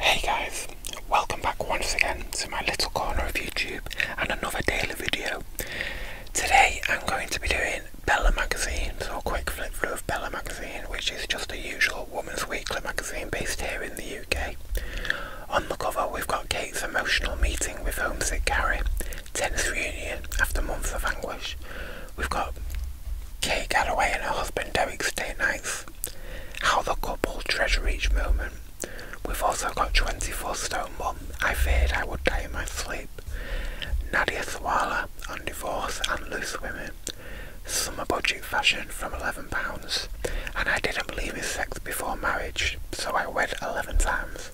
Hey guys, welcome back once again to my little corner of YouTube and another daily video. Today I'm going to be doing Bella magazine, so a quick flip through of Bella magazine, which is just a usual woman's weekly magazine based here in the UK. On the cover we've got Kate's emotional meeting with homesick Gary, 10th reunion after months of anguish. We've got Kate Galloway and her husband Derek date nights. How the couple treasure each moment. We've also got 24 Stone one. I Feared I Would Die in My Sleep. Nadia Thwala on divorce and loose women. Summer budget fashion from £11. And I didn't believe in sex before marriage, so I wed 11 times.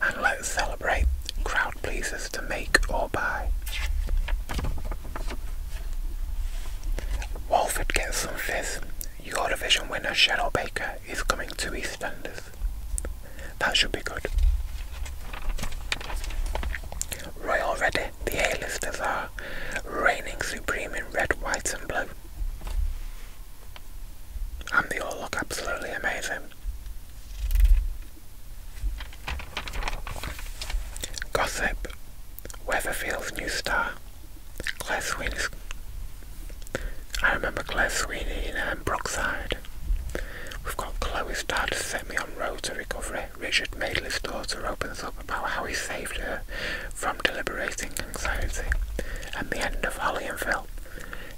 And let's celebrate crowd pleasers to make or buy. Walford gets some fizz. Eurovision winner Cheryl Baker is coming to EastEnders. That should be good. Royal ready. the A-listers are reigning supreme in red, white and blue. And they all look absolutely amazing. Gossip, Weatherfield's new star, Claire Sweeney's. I remember Claire Sweeney in um, Brookside. We've got Chloe's dad set me on road to recovery. Richard Madeley's daughter opens up about how he saved her from deliberating anxiety and the end of Holly and Phil.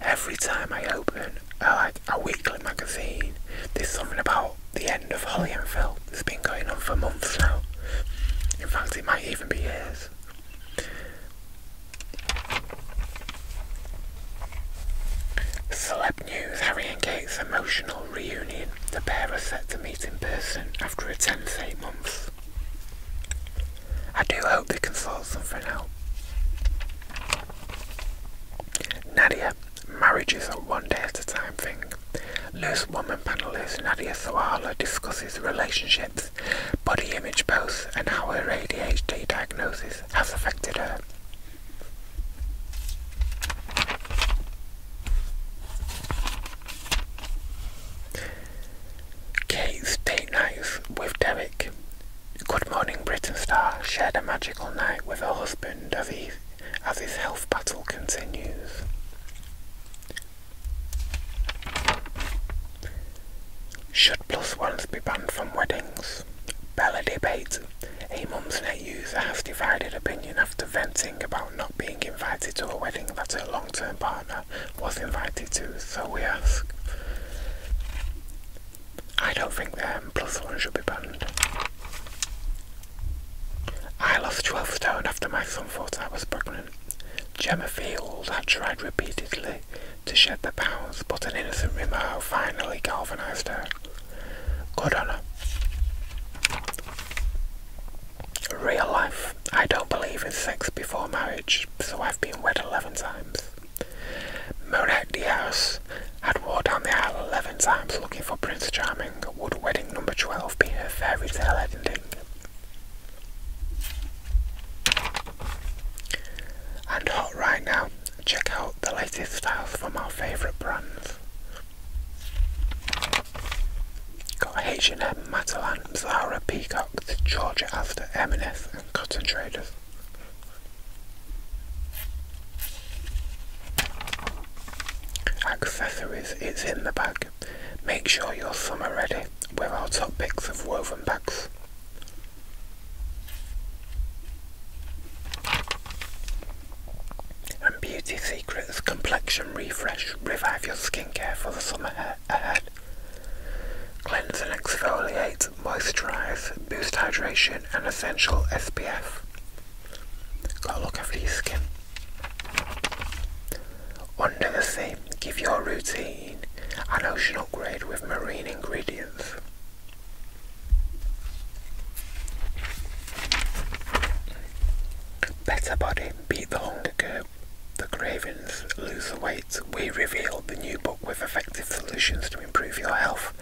Every time I open a, like a weekly magazine, there's something about the end of Holly and Phil that has been going on for months now. In fact, it might even be years. Celeb News, Harry and Kate's emotional reunion. The pair are set to meet in person after a tense eight months. I do hope they can solve something out. Nadia, marriage is a one day at a time thing. Loose Woman panelist Nadia Sawala discusses relationships, body image posts, and how her ADHD diagnosis has affected her. Kate's date night with Derek. Good Morning Britain star shared a magical night with her husband as, he, as his health battle continues. Should plus ones be banned from weddings? Bella debate. A mum's net user has divided opinion after venting about not being invited to a wedding that her long term partner was invited to, so we ask. I don't think the M plus one should be banned. I lost 12 stone after my son thought I was pregnant. Gemma Field had tried repeatedly to shed the pounds, but an innocent remark finally galvanised her. Good on her. Real life. I don't believe in sex before marriage, so I've been wed 11 times. Monet Diaz had walked down the aisle 11 times looking for Prince Charming. Would wedding number 12 be a fairy tale ending? And hot right now, check out the latest styles from our favourite brands. Got H&M, Matalan, Zara, Peacock, Georgia Asda, m and Cotton Traders. Accessories, it's in the bag. Make sure your summer ready with our top picks of woven bags. And Beauty Secrets Complexion Refresh revive your skincare for the summer ahead. Cleanse and exfoliate, moisturise, boost hydration, and essential SPF. Gotta look after your skin. Under the Sea, give your routine an ocean upgrade with marine ingredients. Better Body beat The Hunger Curve. The Cravings Lose the Weight. We reveal the new book with effective solutions to improve your health,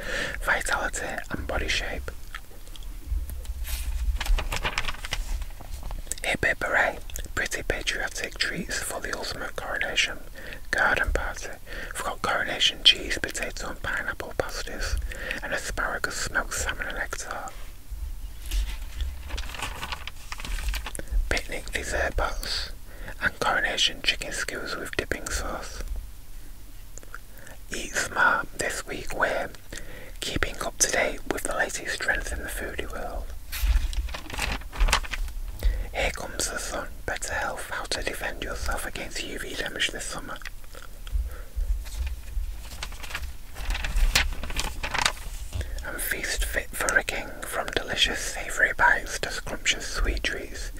vitality, and body shape. Hip Hip Pretty patriotic treats for the ultimate coronation. Garden party we have got coronation cheese, potato and pineapple pasties, and asparagus, smoked salmon and egg tart. Picnic dessert pots, and coronation chicken skewers with dipping sauce. Eat smart this week we're keeping up to date with the latest trends in the foodie world. Here comes the sun. Better health. How to defend yourself against UV damage this summer. And feast fit for a king, from delicious savoury bites to scrumptious sweet treats.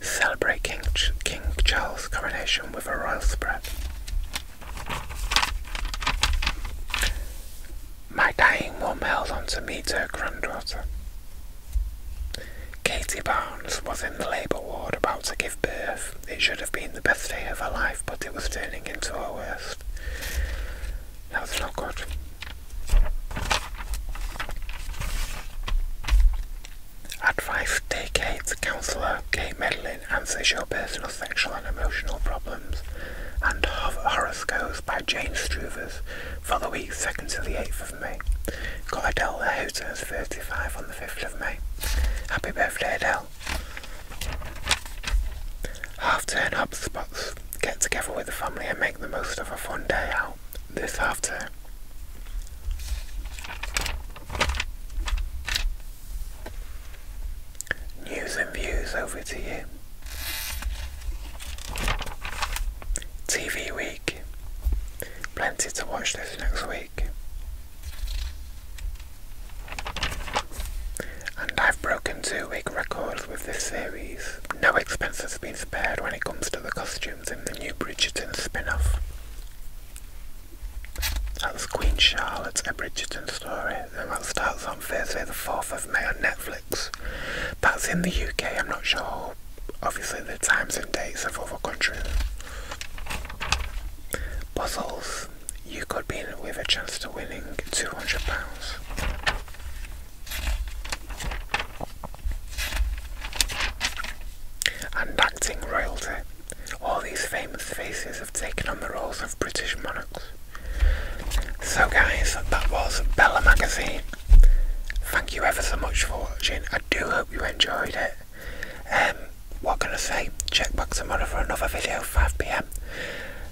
Celebrate King, king Charles' coronation with a royal spread. My dying mum held on to meet her granddaughter. Katie Barnes was in the labour ward about to give birth. It should have been the best day of her life, but it was turning into her worst. That's not good. Advice Day Counsellor Kate Medlin answers your personal sexual and emotional problems, and Horoscopes by Jane Struvers for the week 2nd to the 8th of May. Got Adele there who turns 35 on the 5th of May. Happy birthday Adele. Half-turn HubSpots. Get together with the family and make the most of a fun day out this half-turn. News and views over to you. TV week. Plenty to watch this next week. And I've broken two week records with this series. No expense has been spared when it comes to the costumes in the new Bridgerton spin off. That's Queen Charlotte's A Bridgerton Story, and that starts on Thursday the 4th of May on Netflix. That's in the UK, I'm not sure, obviously, the times and dates of other countries. Puzzles. You could be in with a chance to winning £200. And acting royalty. All these famous faces have taken on the roles of British monarchs. So, guys, that was Bella Magazine. Thank you ever so much for watching. I do hope you enjoyed it. Um, what can I say? Check back tomorrow for another video, 5pm.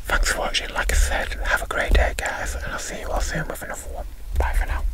Thanks for watching. Like I said, have a great day, guys, and I'll see you all soon with another one. Bye for now.